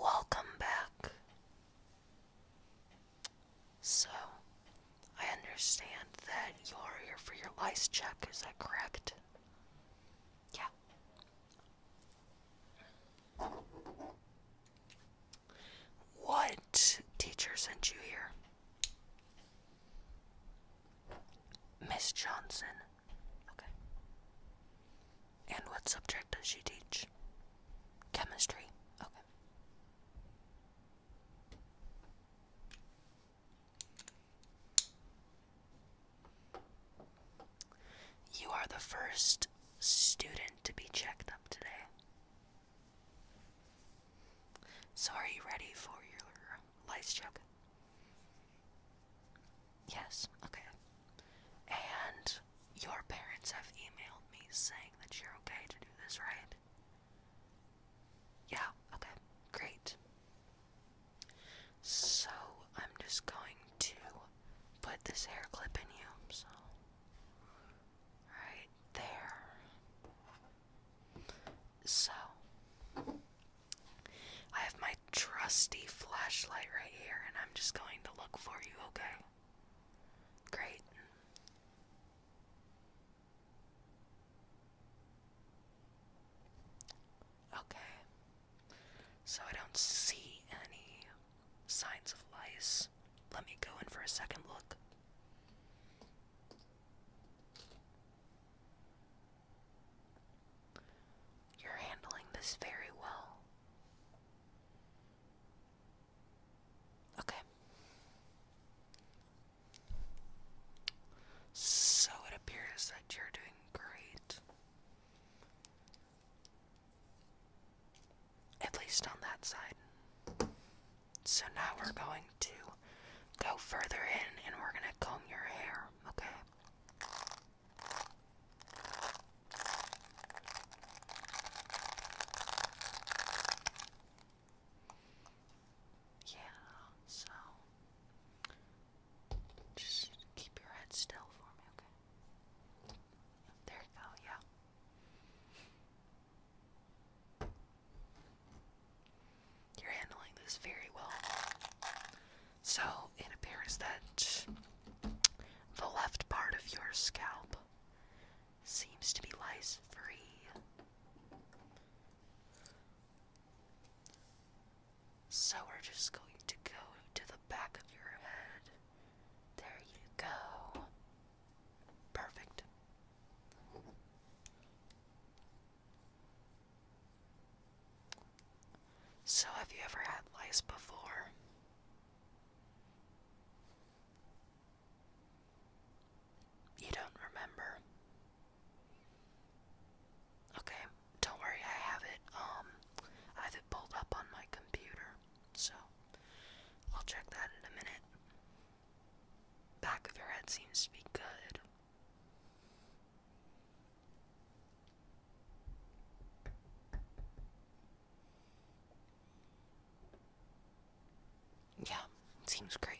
welcome back. So, I understand that you are here for your lice check, is that correct? Yeah. What teacher sent you here? Miss Johnson, Okay. And what subject does she teach? Chemistry. Okay. You are the first student to be checked up today. So, are you ready for your light check? Yes, okay. And your parents have emailed me saying that you're okay to do this, right? Yeah, okay, great. So I'm just going to put this hair clip in you, so right there. So I have my trusty flashlight right here, and I'm just going to look for you, okay? Great. Okay. So I don't see any signs of lice. Let me go in for a second look. You're handling this very well. Okay. So it appears that you're doing great. At least on that side. So now we're going to go further in and we're going to comb your hair, okay? Yeah, so just keep your head still for me, okay? There you go, yeah. You're handling this very well. So it appears that the left part of your scalp seems to be lice free. So we're just going to go to the back of your head. There you go. Perfect. So, have you ever had lice before? You don't remember? Okay, don't worry, I have it, um, I have it pulled up on my computer, so I'll check that in a minute. Back of your head seems to be good. Yeah, seems great.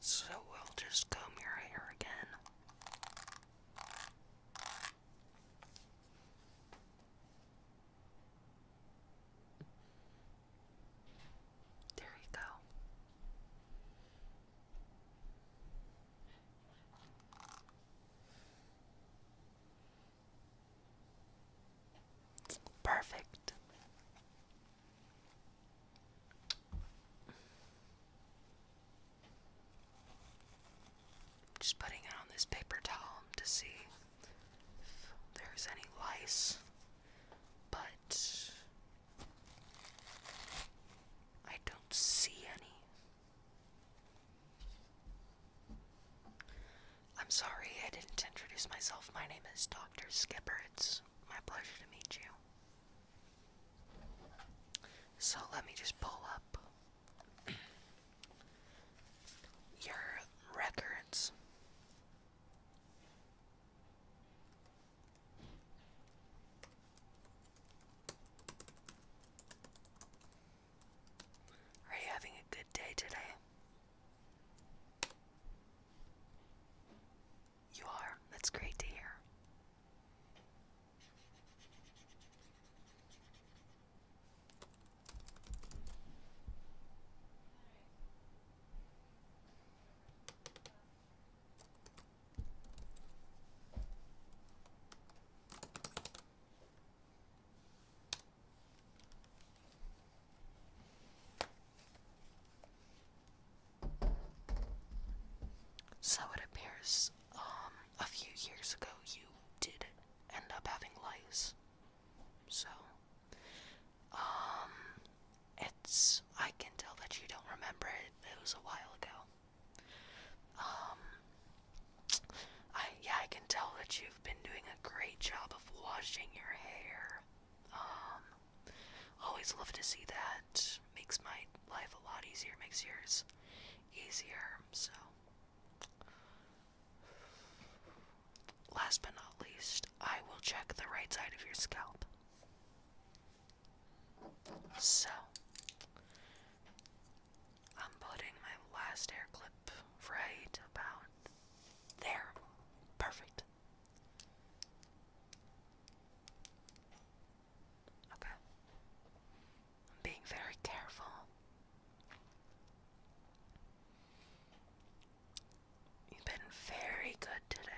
So we'll just comb your again. There you go. Perfect just putting it on this paper towel to see if there's any lice, but I don't see any. I'm sorry I didn't introduce myself. My name is Dr. Skipper. It's my pleasure to meet you. So let me just pull up your records. Are you having a good day today? You are. That's great to hear. So it appears a few years ago you did end up having lice. So, um, it's, I can tell that you don't remember it, it was a while ago. Um, I, yeah, I can tell that you've been doing a great job of washing your hair. Um, always love to see that. Makes my life a lot easier, makes yours easier. So, Last but not least, I will check the right side of your scalp. So, I'm putting my last hair clip right about there. Perfect. Okay. I'm being very careful. You've been very good today.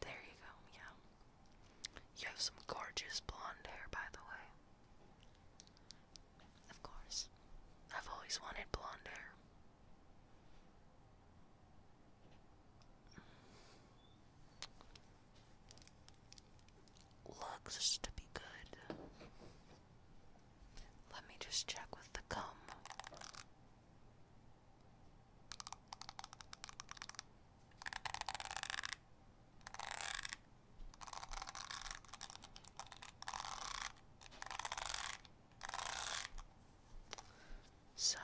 There you go, yeah. You have some gorgeous blonde hair, by the way. Of course. I've always wanted blonde hair. Looks to be good. Let me just check with the gum. So,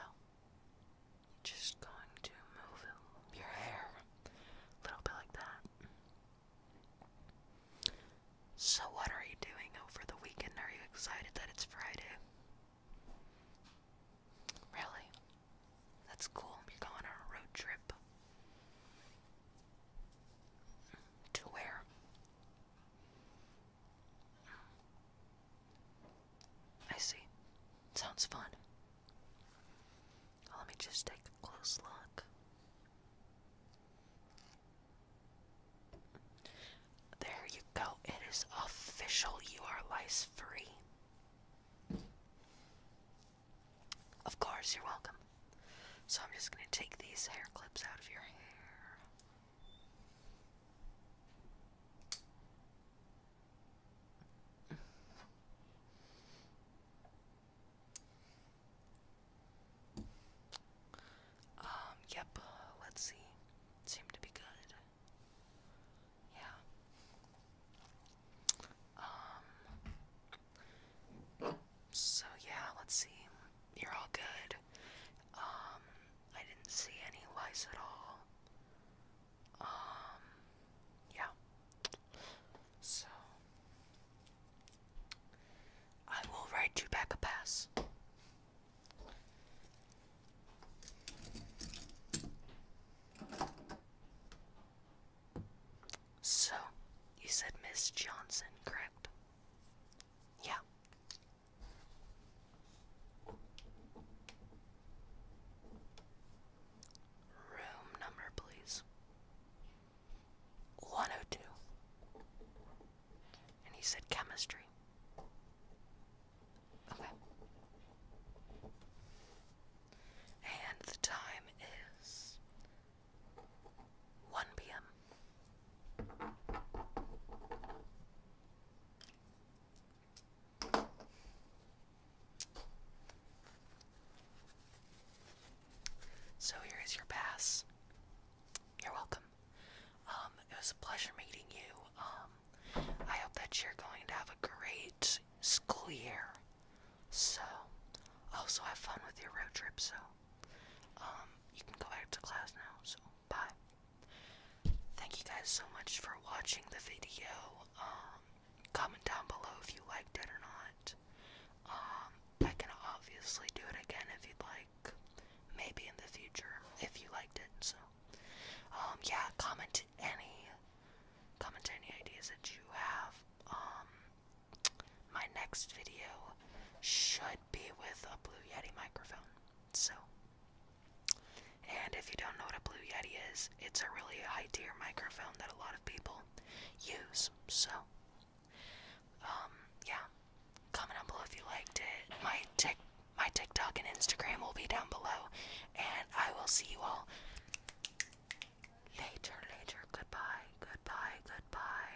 just going to move your hair a little bit like that. So, what are you doing over the weekend? Are you excited that it's Friday? Really? That's cool. You're going on a road trip. To where? I see. Sounds fun. let me just take a close look. There you go. It is official. You are lice free. Of course, you're welcome. So I'm just going to take these hair clips out of your hair. Um, yep, let's see. Seemed to be good. Yeah. Um, so yeah, let's see you're all good. Um, I didn't see any lice at all. Um, yeah. So, I will write you back a pass. So, you said Miss Johnson, correct? Yeah. Room number, please. 102. And he said chemistry. Okay. And the time is 1 p.m. So here is your pass. You're welcome. Um, it was a pleasure meeting you. Um, I hope that you're going to have a great school year. So, also have fun with your road trip. So, um, you can go back to class now. So. But thank you guys so much for watching the video. Um, comment down below if you liked it or not. Um, I can obviously do it again if you'd like. Maybe in the future if you liked it. So, um, yeah, comment any comment any ideas that you have. my next video should be with a Blue Yeti microphone. So, and if you don't know what a Blue Yeti is, it's a really high tier microphone that a lot of people use. So, um, yeah, comment down below if you liked it. My tick, my TikTok and Instagram will be down below, and I will see you all later. Later. Goodbye. Goodbye. Goodbye.